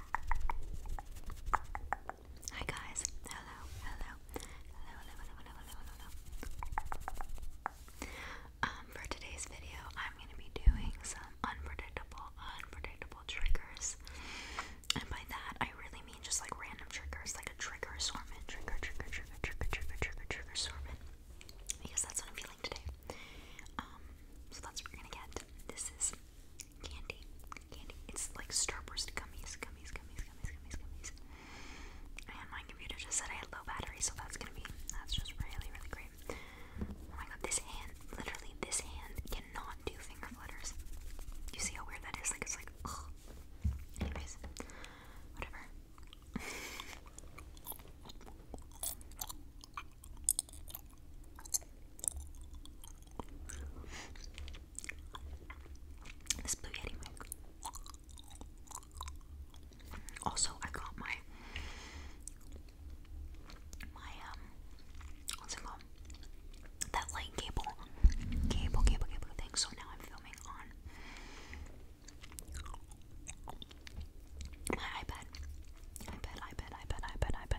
Hi guys, hello, hello, hello, hello, hello, hello, hello, um, for today's video, I'm gonna be doing some unpredictable, unpredictable triggers, and by that I really mean just like random triggers, like a trigger assortment, trigger, trigger, trigger, trigger, trigger, trigger, trigger assortment, because that's what I'm feeling today. Um, so that's what we're gonna get. This is Candy. Candy. It's like Starburst gummies, gummies, gummies, gummies, gummies, gummies. And my computer just said I had low battery, so that's gonna be that's just really, really great. Oh my god, this hand, literally this hand cannot do finger flutters. You see how weird that is? Like it's like ugh. Anyways, whatever. This blue yeti mic. Also, I got my my um what's it called? That light cable, cable, cable, cable thing. So now I'm filming on my iPad, iPad, iPad, iPad, iPad, iPad.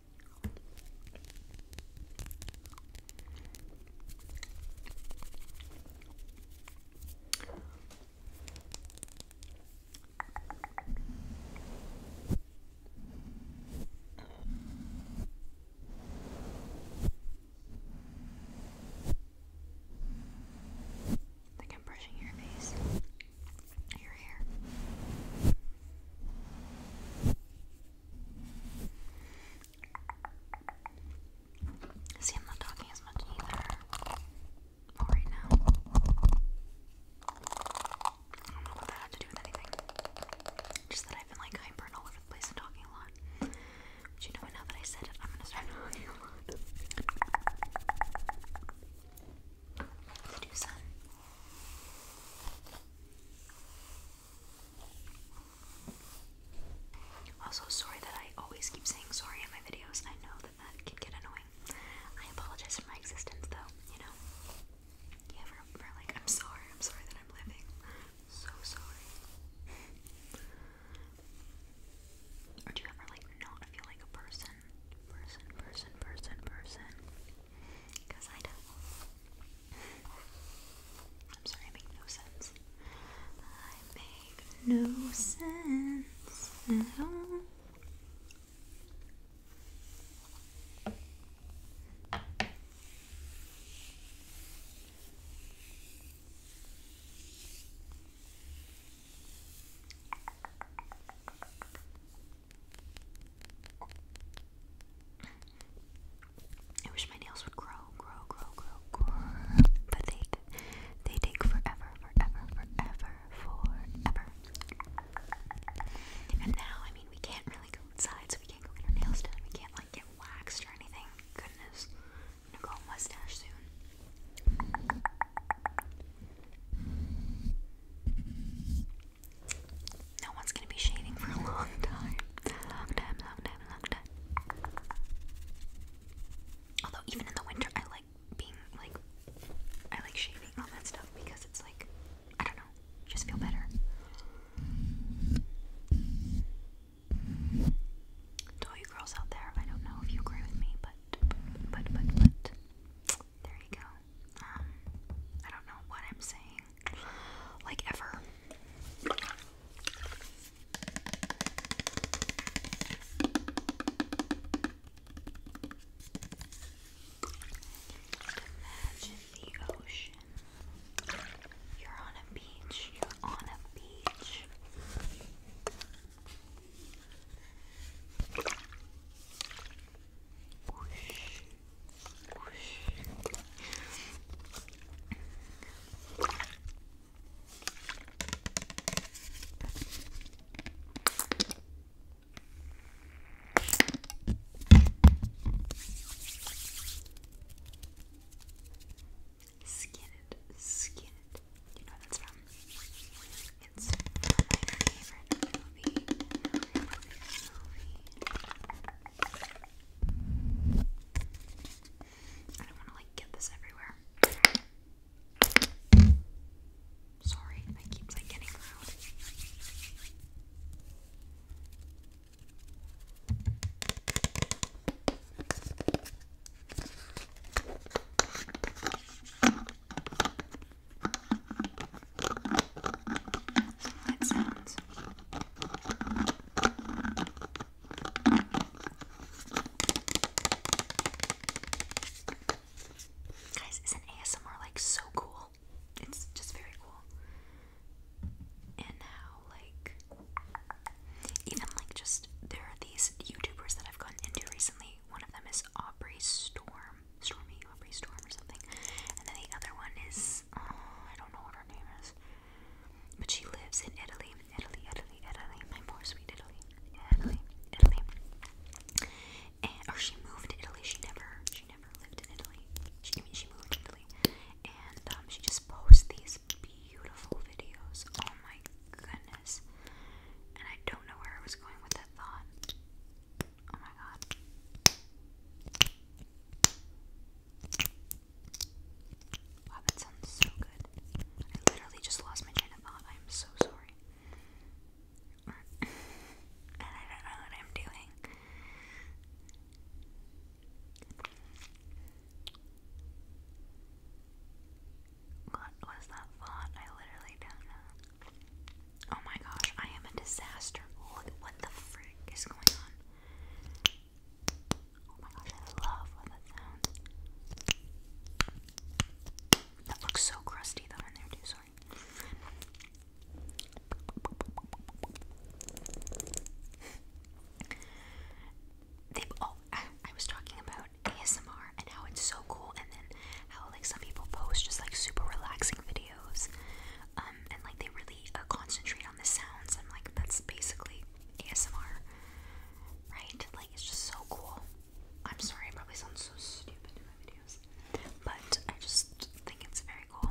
Like I'm brushing your face, your hair. See, I'm not talking as much either. All right now. I don't know what that had to do with anything. Just that I've been like hyper all over the place and talking a lot. But you know what? Now that I said it, I'm gonna start talking a also, sorry that I always keep saying sorry in my videos. I know that that can get annoying. I apologize for my existence, though, you know? Yeah, for, for like, I'm sorry. I'm sorry that I'm living. So sorry. or do you ever, like, not feel like a person? Person, person, person, person. Because I do. I'm sorry, I make no sense. I make no sense at all. I wish my nails would grow, grow, grow, grow, grow. But they they take forever, forever, forever, forever. And now, I mean, we can't really go outside, so we can't go get our nails done. We can't like get waxed or anything. Goodness, I'm gonna go mustache soon. No one's gonna be shaving for a long time. Long time, long time, long time. Although even in the winter I like being like I like shaving all that stuff because it's like I don't know, just feel better. all you girls out there, I don't know if you agree with me, but but but, but there you go. Um I don't know what I'm saying like ever. Imagine the ocean. You're on a beach. You're on a beach. Skin it, skin it. You know what that's from? It's my favorite movie. This movie. I don't want to like get this everywhere. Sorry, that keeps like getting loud. That sounds. Guys, isn't ASMR like so cool? It's just very cool. And how like even like just there are these YouTubers that I've gotten into recently. One of them is Aubrey Storm. Stormy Aubrey Storm or something. And then the other one is uh, I don't know what her name is, but she lives in Italy, Italy, Italy, Italy. My poor sweet Italy, Italy, Italy. And, or she moved to Italy. She never, she never lived in Italy. She, I mean, she moved to Italy, and um, she just posts these beautiful videos. Oh my goodness! And I don't know where I was going with that thought. Oh my god. Wow, that sounds so good. I literally just lost my train thought. I'm so sorry. and I don't know what I'm doing. What was that thought? I literally don't know. Oh my gosh, I am a disaster. Look what the frick is going on. Oh my gosh, I love what that sounds. That looks so crusty though in there too, sorry. oh I was talking about ASMR and how it's so cool and then how like some people post just like super relaxing videos videos, um, and like they really uh, concentrate on the sounds. I'm like, that's basically ASMR, right? Like it's just so cool. I'm sorry, I probably sound so stupid in my videos, but I just think it's very cool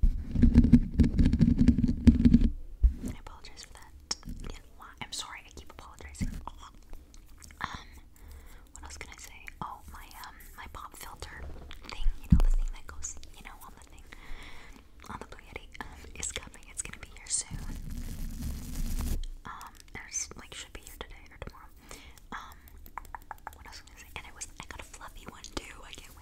I apologize for that. I'm sorry, I keep apologizing. Um, what else can I say? Oh, my um, my pop filter thing, you know, the thing that goes, you know, on the thing, on the Blue Yeti, um, is coming. It's gonna be here soon. Um, it's like should be here today or tomorrow. Um, what else can I say? And it was I got a fluffy one too. I can't wait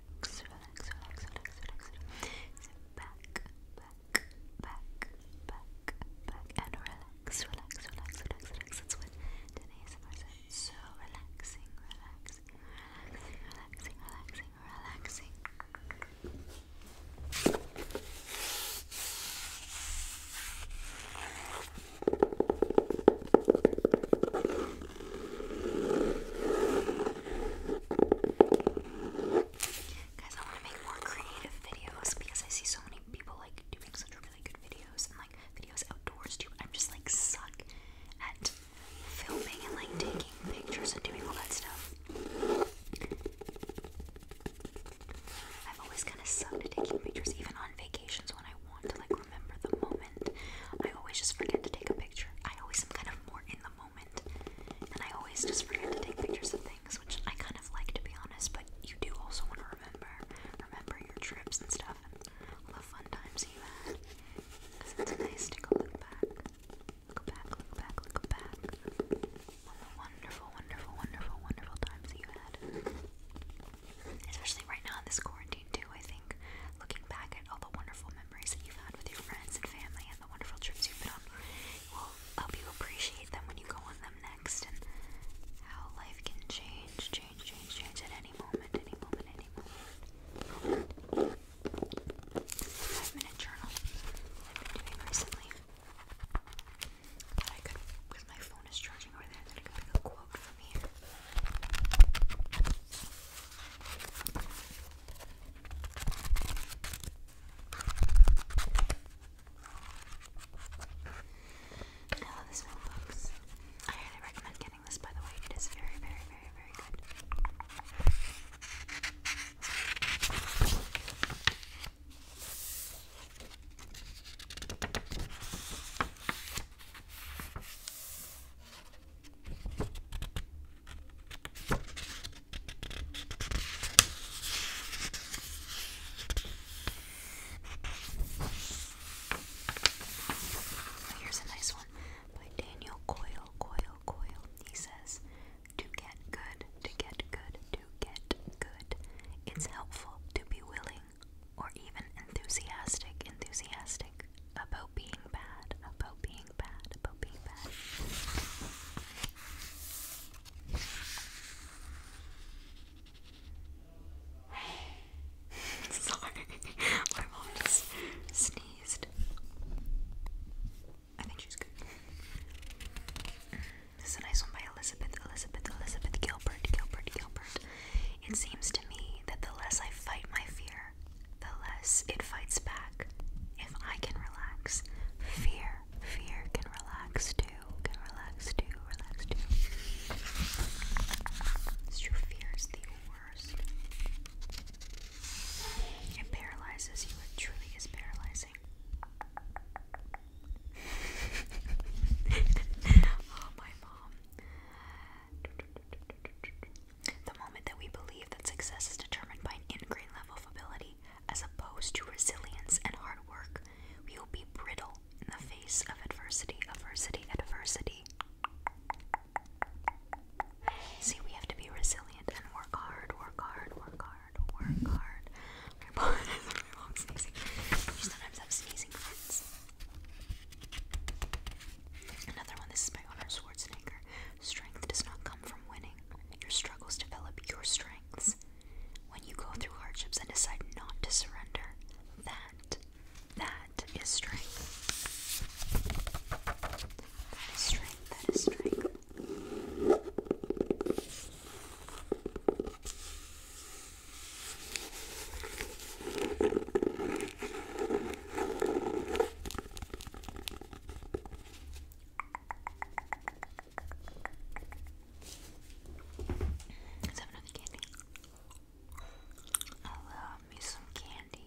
relax, relax, relax, relax, relax. So back, back, back, back, back, and relax, relax, relax, relax, relax. That's what so relaxing, relaxing, relaxing, relaxing, relaxing, relaxing. Guys, I want to make more creative videos because I see so many people like doing such really good videos and like videos outdoors too. I'm just like suck at filming and like taking pictures and doing all that stuff. I've always kind of sucked at taking pictures, even on vacations when I want to like remember the moment. I always just forget to take a picture. I always am kind of more in the moment moment. And I always just forget to take pictures of things, which I kind of like to be honest, but you do also want to remember remember your trips and stuff and all the fun times you had. Because it's nice to go look back. Look back, look back, look back. On the wonderful, wonderful, wonderful, wonderful times that you had. Especially right now in this quarantine too, I think. Looking back at all the wonderful memories that you've had with your friends and family and the wonderful trips you've been on will help you appreciate them when you go on them next and how life can change, change, change, change at any moment, any moment, any moment. Five minute journal I've doing recently. I could, because my phone is charging over there, that could pick a quote from here. I love this film, I highly recommend getting this, by the way. It is very, very, very, very good. Oh, here's a nice one by Daniel Coyle. Coyle, Coyle. He says, To get good, to get good, to get good, it's helpful to be willing or even enthusiastic, enthusiastic about being bad, about being Sorry, my mom just sneezed. I think she's good. This is a nice one by Elizabeth, Elizabeth, Elizabeth Gilbert, Gilbert, Gilbert. It seems to me that the less I fight my fear, the less it fights back. If I can relax, fear, fear can relax too, can relax too, relax too. true, fear is the worst. It paralyzes you, it truly is paralyzing. oh, my mom. The moment that we believe that success is determined by an ingrained level of ability as opposed to resilience and hard work, we will be brittle in the face of adversity, adversity, adversity. See, we have to be resilient and work hard, work hard, work hard, work hard. I apologize if my mom's sneezing. You sometimes have sneezing fits. Another one, this is by Honor Schwarzenegger. Strength does not come from winning. Your struggles develop your strengths. When you go through hardships and decide not to surrender, that, that is strength. That is strength, that is strength. Let's have another candy. I love me some candy.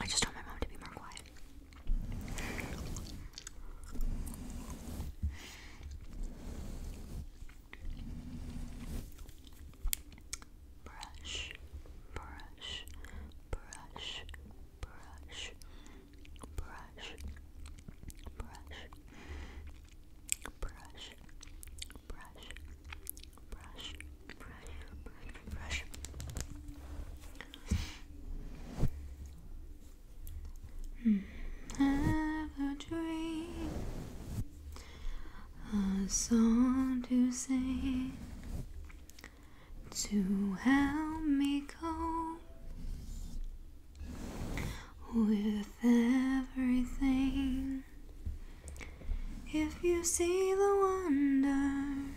I just told my mom to be more quiet. Brush, brush, brush, brush, brush, brush, brush, brush, brush, brush, brush, brush. Have a dream, a song to sing to help me cope with everything if you see the wonder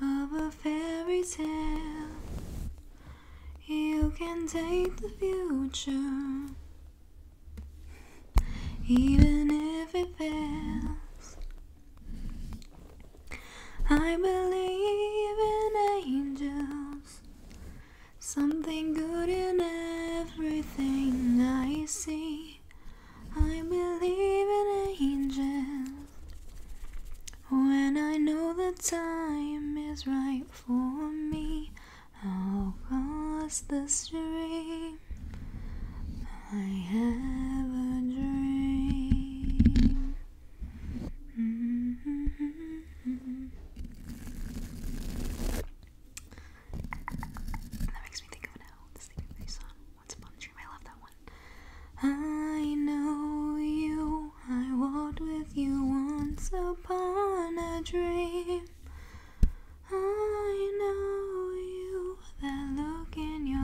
of a fairy tale, you can take the future, even if it fails. I believe in angels Something good in everything I see. I believe in angels when I know the time is right for me. I'll cross the stream. I have a dream. Mm-hmm that makes me think of an the Sleeping Beauty song. Once upon a dream, I love that one. I know you, I walked with you once upon a dream. I know you, that look in your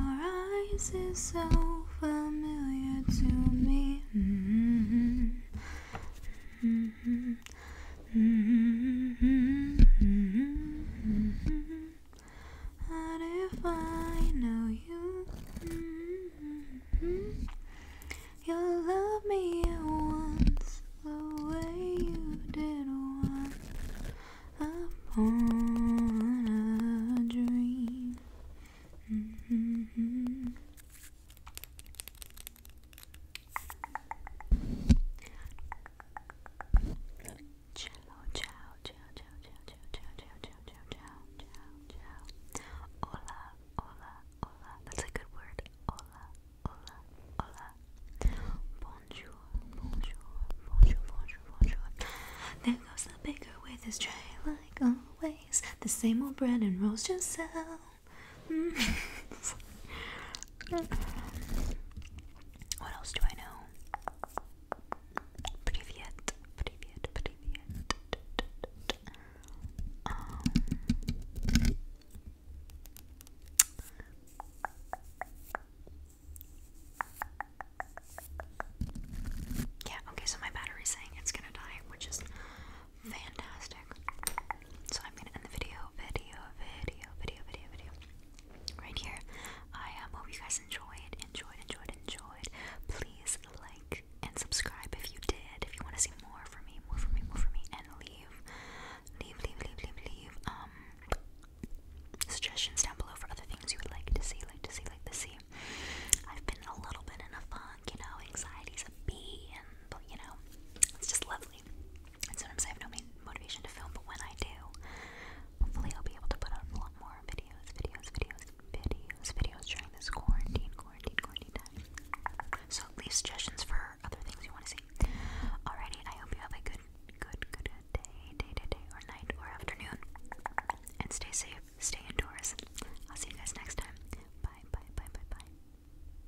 eyes is so familiar to me. Mm-hmm. Mm-hmm mm if I know you? You'll love me once the way you did once upon a dream. Hola, hola, hola. That's a good word. Bonjour, bonjour, bonjour, bonjour, bonjour. There goes the baker with his tray, like always. The same old bread and rolls just out. what else do I know? Privet, privet, privet. Um, yeah, okay, so my battery's saying it's gonna die, which is fantastic. So I'm gonna end the video, video, video, video, video, video. Right here. I um, hope you guys enjoyed, enjoyed, enjoyed, enjoyed. Please like and subscribe if you did. If you want to see more from me, more from me, more from me, and leave, leave, leave, leave, leave, leave. Um, suggestions down below for other things you would like to see, like to see, like to see. I've been a little bit in a funk, you know. Anxiety's a B, and you know, it's just lovely. And sometimes I have no motivation to film, but when I do, hopefully I'll be able to put out a lot more videos, videos, videos, videos, videos during this quarantine, quarantine, quarantine time. So leave suggestions for other things you want to see. Alrighty, I hope you have a good, good, good day, day, day, or night, or afternoon. And stay safe, stay indoors. I'll see you guys next time. Bye, bye, bye, bye, bye.